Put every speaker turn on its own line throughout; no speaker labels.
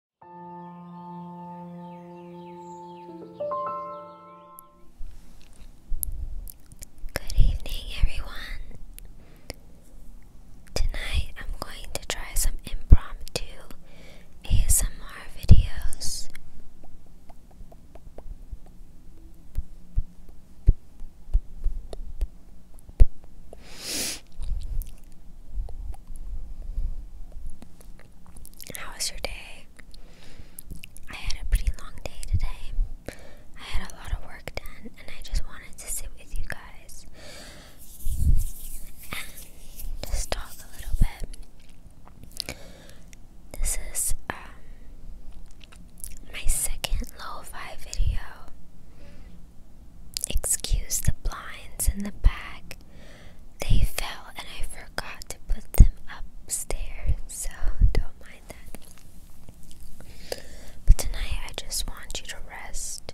Good evening, everyone. Tonight I'm going to try some impromptu ASMR videos. How was your day? I had a pretty long day today. I had a lot of work done, and I just wanted to sit with you guys and just talk a little bit. This is um, my second lo video. Excuse the blinds in the back. They fell and I forgot to put them upstairs, so don't mind that. But tonight I just want you to rest.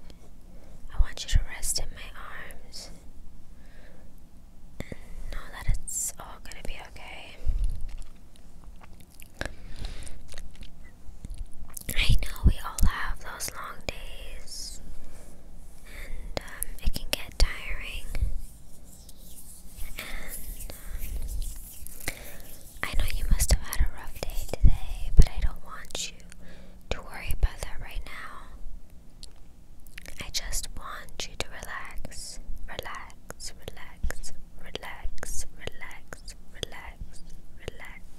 I want you to rest in my arms know that it's all gonna be okay. I know we all have those long days, and um, it can get tiring. And um, I know you must have had a rough day today, but I don't want you to worry about that right now. I just want you to relax, relax, relax, relax, relax, relax, relax.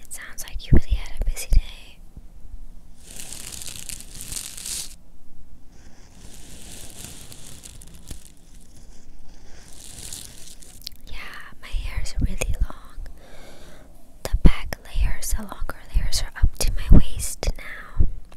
It sounds like you really had a busy day. Yeah, my hair is really long. The back layers, the longer layers, are up to my waist now.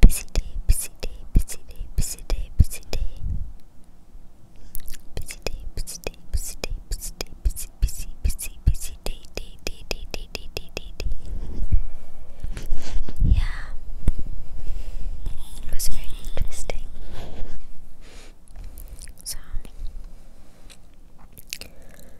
Busy day, busy day, busy day, busy day, busy day. Busy day, busy day, busy day, busy day, busy, busy, busy, busy day, day, day, day, day, day, day, day, day. Yeah. It was very interesting. So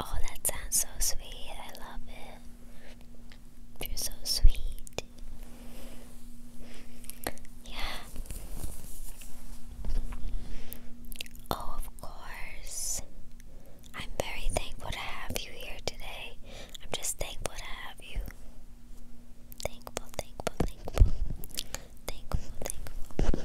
Oh, that sounds so sweet. I love it. You're so sweet. Yeah. Oh, of course. I'm very thankful to have you here today. I'm just thankful to have you. Thankful, thankful, thankful. Thankful, thankful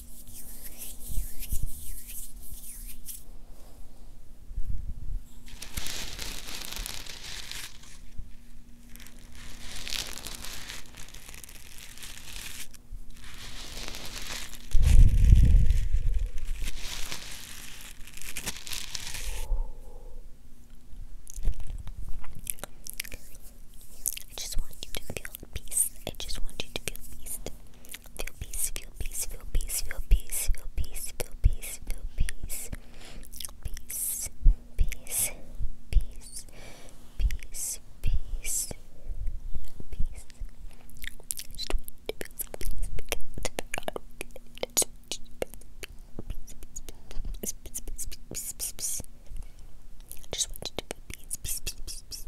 I just want you to feel peace. I just want you to feel peace. Feel peace, feel peace, feel peace, feel peace, feel peace, feel peace, feel peace. Peace, peace, peace, peace, peace, peace. Just want to feel peace, peace, peace, peace.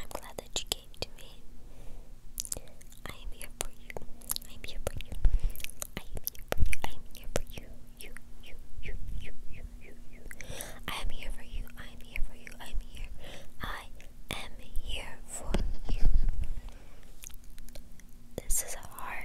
I'm glad that you came to me. I am here for you. I am here for you. I am here for you. I am here for you. You, you, you, you, you, you, you. I am here for you. I am here for you. I am here. I am here for you. This is a hard